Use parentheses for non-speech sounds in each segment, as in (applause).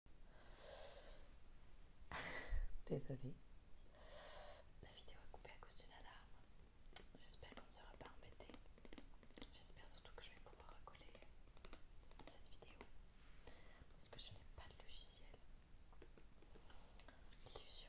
(laughs) Désolée, la vidéo a coupé à cause d'une alarme. J'espère qu'on ne sera pas embêté. J'espère surtout que je vais pouvoir recoller cette vidéo parce que je n'ai pas de logiciel. Illusion.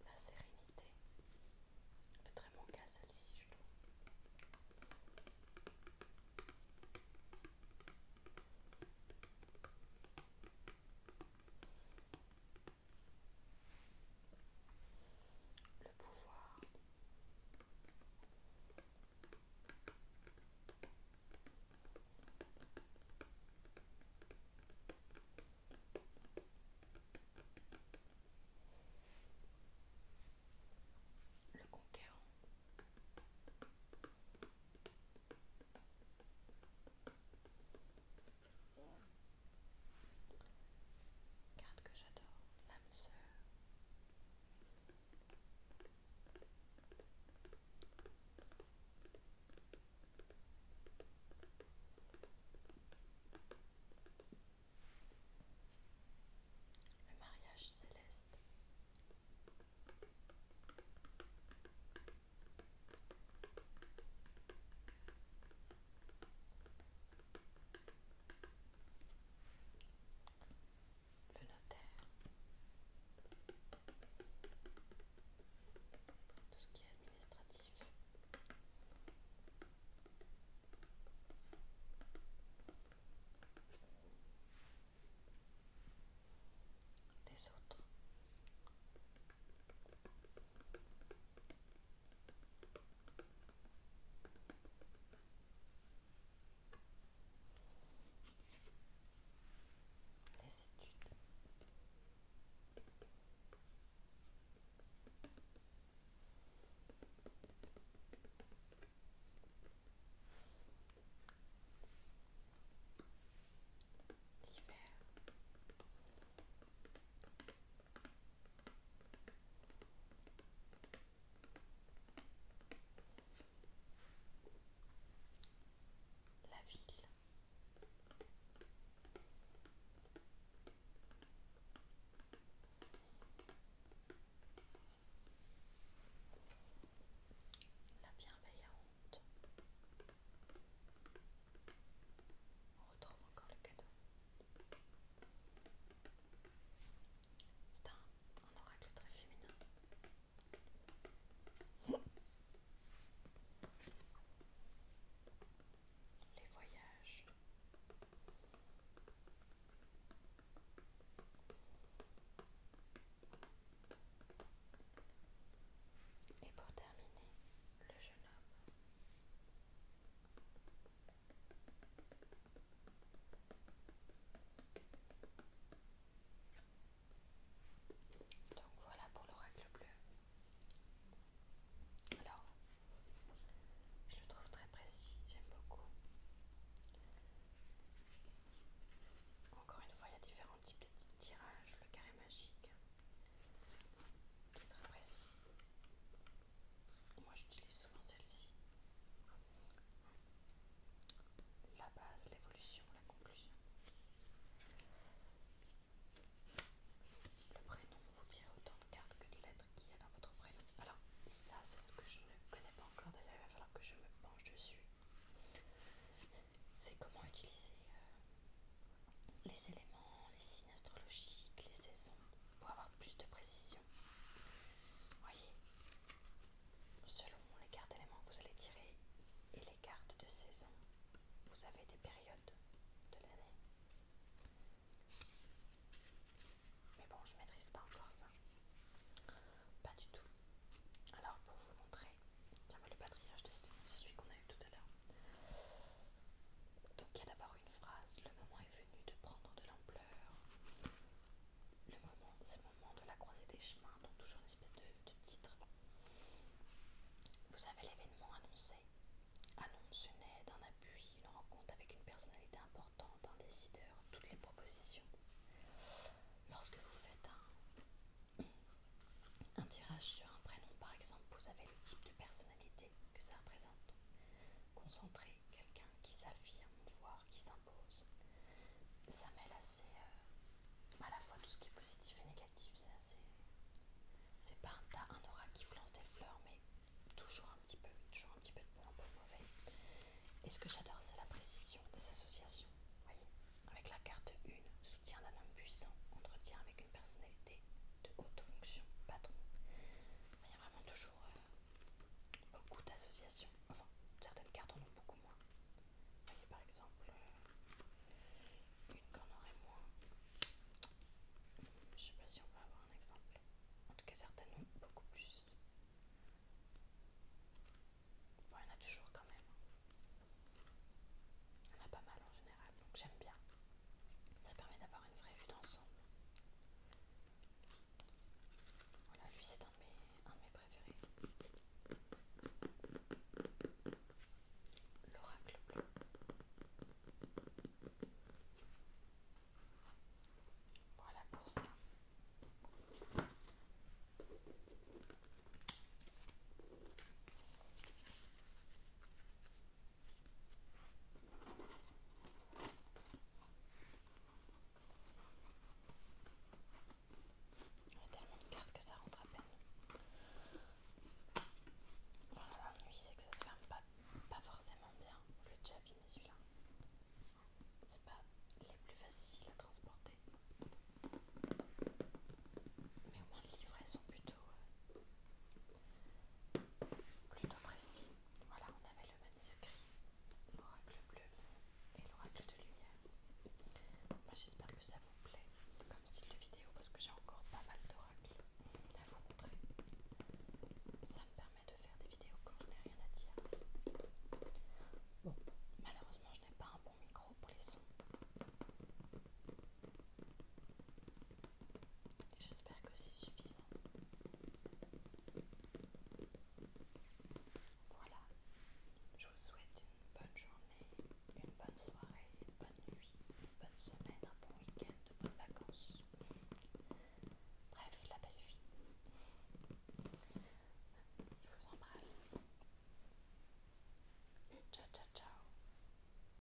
la sérénité. peut très manquer à celle-ci, je trouve. Le pouvoir. Le conquérant. Carte que j'adore, l'âme sœur. Le mariage céleste le notaire, tout ce qui est administratif. Les autres les études. L'hiver. La ville. La bienveillante. On retrouve encore le cadeau. C'est un, un oracle très féminin. Les voyages. Et pour terminer, le jeune homme. Donc voilà pour l'oracle bleu. Alors, je le trouve très précis, j'aime beaucoup. Encore une fois, il y a différents types de tirages. Le carré magique, qui est très précis. Moi, j'utilise souvent celle-ci. La base, l'évolution, la conclusion. Le prénom vous tirez autant de cartes que de lettres qu'il y a dans votre prénom. Alors, ça, c'est ce que je ne connais pas encore, d'ailleurs, il va falloir que je me penche dessus. C'est comment utiliser euh, les éléments, les signes astrologiques, les saisons pour avoir plus de précision. Vous voyez, Selon les cartes éléments que vous allez tirer et les cartes de saison, vous avez des périodes de l'année. Mais bon, je maîtrise pas encore ça. Pas du tout. Alors pour vous montrer, tiens bah, le patriarche de c'est celui qu'on a eu tout à l'heure. Donc il y a d'abord une phrase, le moment est venu de prendre de l'ampleur, le moment, c'est le moment de la croisée des chemins, donc toujours une espèce de, titre. Vous avez l'événement annoncé, annonce une aide, un appui, une rencontre avec une personnalité importante, un décideur, toutes les propositions. Lorsque vous faites un, un tirage sur un prénom, par exemple, vous avez le type de personnalité que ça représente. Concentrer, quelqu'un qui s'affirme, voire qui s'impose. Ça mêle assez euh, à la fois tout ce qui est positif et négatif. C'est assez. C'est pas un tas, un aura qui vous des fleurs, mais toujours un petit peu, toujours un petit peu de bon, un peu mauvais. Et ce que j'adore, c'est la précision des associations. Voyez Avec la carte 1, soutien d'un homme puissant, entretien avec une personnalité de haute fonction, patron. Il y a vraiment toujours euh, beaucoup d'associations, enfin certaines cartes en ont beaucoup moins. Vous voyez par exemple euh, une qu'on aurait moins. Je sais pas si on va avoir un exemple. En tout cas certaines ont beaucoup plus. Bon, il y en a toujours quand même. Hein. Il y en a pas mal en général, donc j'aime bien. Ça permet d'avoir une vraie vue d'ensemble. Voilà, lui c'est un, de mes préférés. L'oracle blanc Voilà pour ça. Il y a tellement de cartes que ça rentre à peine. Voilà, l'ennui, c'est que ça se ferme pas, forcément bien. Je l'ai déjà abîmé celui-là. C'est pas les plus faciles à transporter. Mais au moins, les livrets sont plutôt euh, plutôt précis. Voilà, on avait le manuscrit, l'oracle bleu et l'oracle de lumière. Moi j'espère que ça vous plaît comme style de vidéo parce que j'ai encore pas mal d'oracles à vous montrer. Ça me permet de faire des vidéos quand je n'ai rien à dire. Bon, malheureusement je n'ai pas un bon micro pour les sons. J'espère que c'est suffisant. Voilà, je vous souhaite une bonne journée, une bonne soirée, une bonne nuit, une bonne semaine, un bon week-end, de bonnes vacances. Bref, la belle vie. Je vous embrasse. Ciao, ciao, ciao.